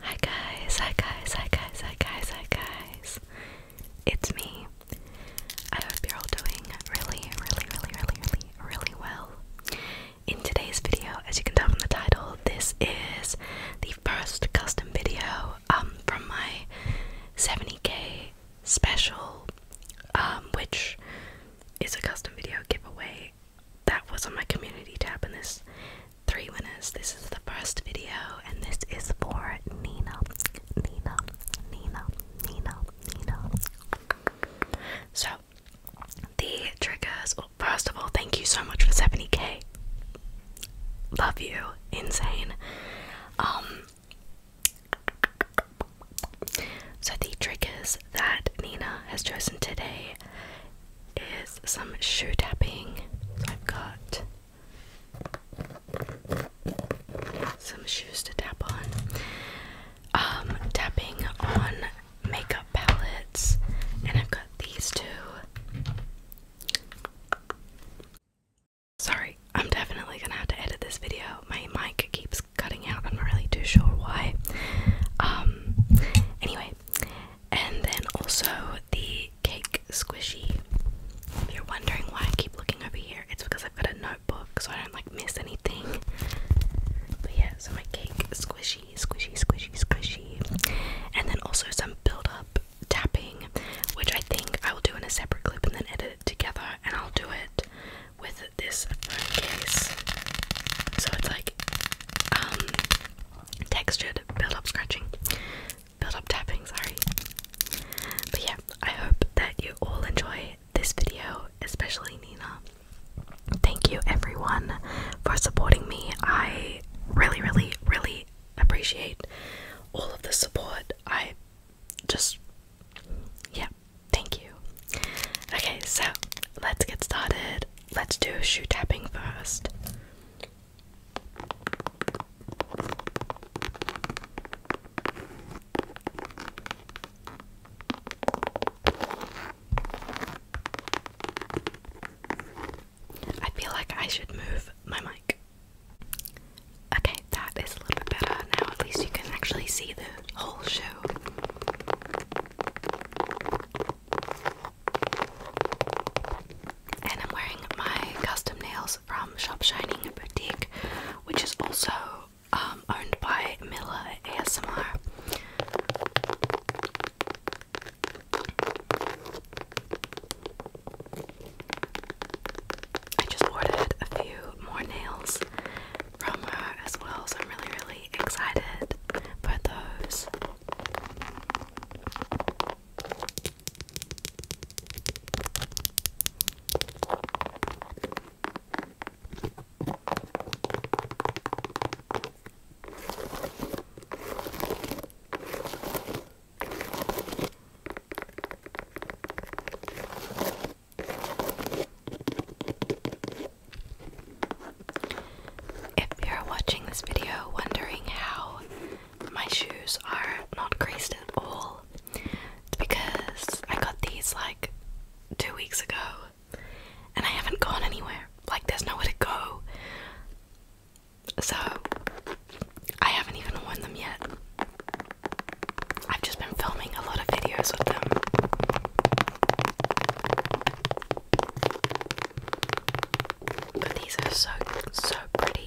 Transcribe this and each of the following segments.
Hi guys, hi guys, hi guys, hi guys, hi guys. It's me. I hope you're all doing really, really, really, really, really, really well. In today's video, as you can tell from the title, this is the first custom video um from my 70k special, um, which is a custom video giveaway that was on my community tab. And there's three winners. This is the first video, and this is for Nina. Nina, Nina, Nina, Nina. So, the triggers. Well, first of all, thank you so much for 70k. Love you. Insane. Um, so, the triggers that Nina has chosen today is some shoe tapping. I've got some shoes to tap on. Um, tapping on makeup palettes, and I've got these two. Sorry, I'm definitely gonna have to edit this video. My mic keeps cutting out, I'm not really too sure why. Um, anyway, and then also the cake squishy. If you're wondering why I keep looking over here, it's because I've got a notebook so I don't like miss anything. But yeah, so my cake squishy, squishy, squishy, squishy. And then also some build up tapping, which I think I will do in a separate clip and then edit together and I'll do it with this case. So it's like um, textured build-up scratching. Build-up tapping, sorry. But yeah, I hope that you all enjoy this video, especially Nina. Thank you everyone for supporting me. I really, really, really appreciate all of the support. I just yeah, thank you. Okay, so let's get started. Let's do shoe tapping first. I feel like I should move my mic. Okay, that is a little bit better now. At least you can actually see the whole show. And I'm wearing my custom nails from Shop Shining Boutique, which is also um, owned by Miller ASMR. I just ordered a few more nails from her as well, so I'm really, really excited for those. If you're watching this video wondering how my shoes are not creased at all, it's because I got these like two weeks ago and I haven't gone anywhere. Like, there's nowhere to go. So I haven't even worn them yet. I've just been filming a lot of videos with them. But these are so, so pretty.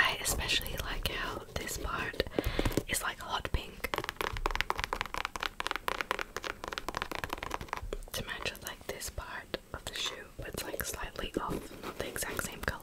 I especially like how this part is like hot pink to match like this part of the shoe, but it's like slightly off, not the exact same color.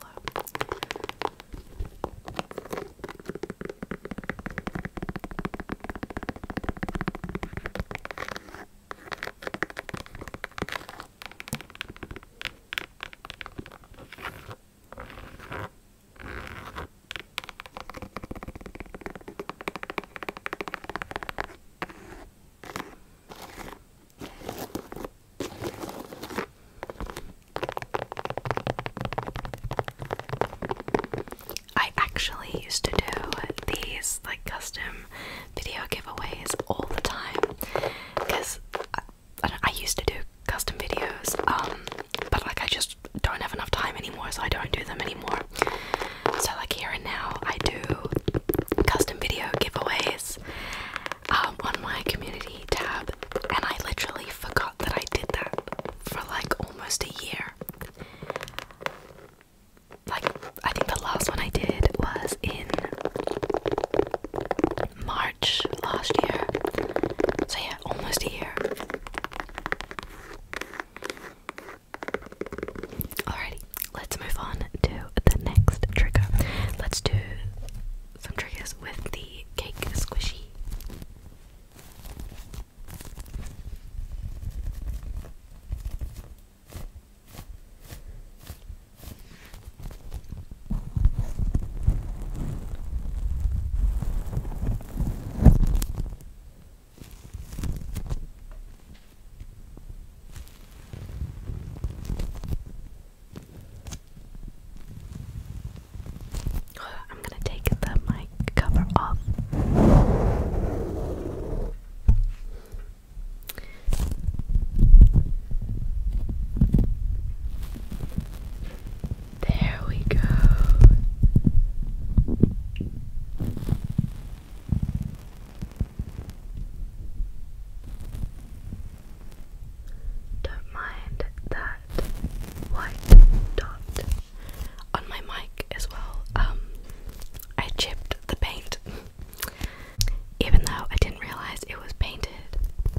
I actually used to do these like custom video giveaways all the time because I, used to do custom videos, um, but like I just don't have enough time anymore, so I don't do them anymore. So, like, here and now, I do custom video giveaways um, on my community tab, and I literally forgot that I did that for like almost a year. Like, I think the last one I did was in March last year. So, yeah, almost here. Alrighty, let's move on to the next trigger. Let's do some triggers with the cake squishy. I'm going to take the mic cover off. There we go. Don't mind that white dot on my mic as well. Um, I chipped the paint, even though I didn't realize it was painted.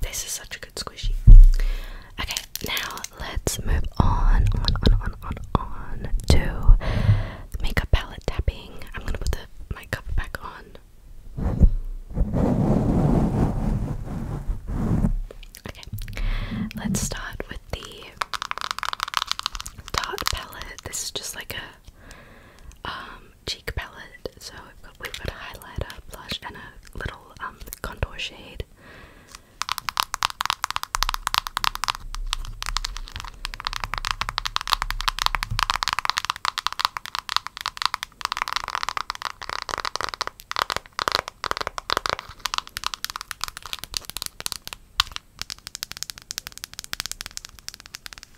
This is such a good squishy. Okay, now let's move on, on, on, on, on, on to makeup palette tapping. I'm gonna put my cover back on. Okay, let's start with the Tarte palette. This is just like a um, cheek palette. So we've got, we've a highlighter, blush, and a little um, contour shade.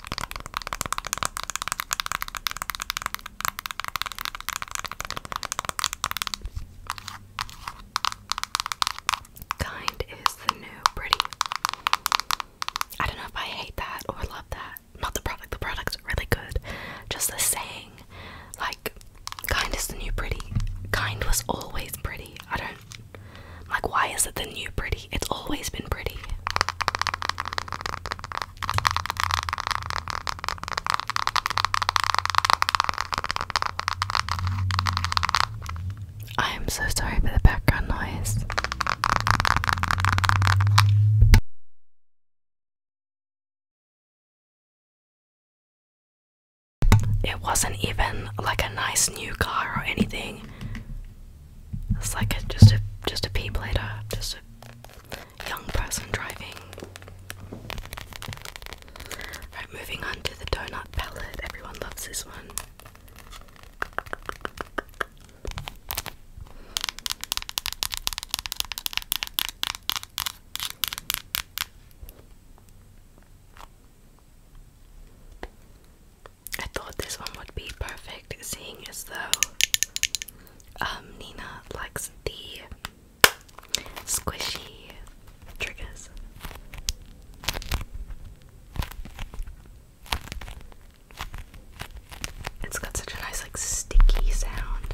Kind is the new pretty. I don't know if I hate that or love that. Not the product, the product's really good. Just the saying, like, kind is the new pretty. Kind was always pretty. I don't, like, why is it the new pretty? It's always been pretty. I am so sorry for the background noise. It wasn't even like a nice new car or anything. It's like a, just a just a pea just a young person driving. Right, moving on to the donut palette. Everyone loves this one. I thought this one would be perfect, seeing as though um, Nina likes the squishy triggers. It's got such a nice, like, sticky sound.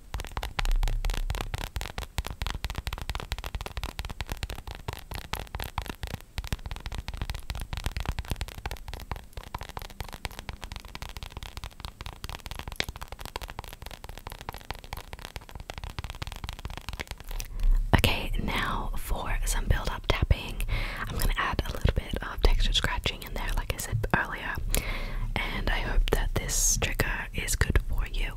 Okay, now for some build up tapping. I'm going to add a little bit of texture scratching in there, like I said earlier, and I hope that this trigger is good for you.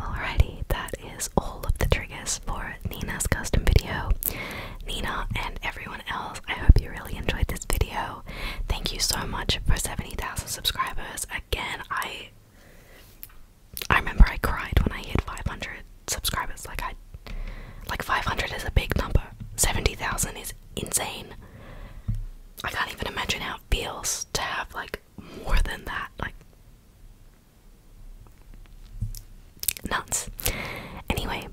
Alrighty, that is all of the triggers for Nina's custom video. Nina and everyone else, I hope you really enjoyed this video. Thank you so much for 70,000 subscribers. Again, I I remember I cried when I hit 500 subscribers. Like I like 500 is a big number. 70,000 is insane. I can't even imagine how it feels to have like more than that. Like nuts. Anyway,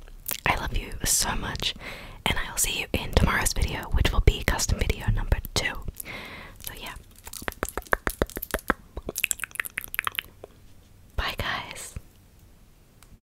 I love you so much, and I will see you in tomorrow's video, which will be custom video number two. So, yeah. Bye, guys.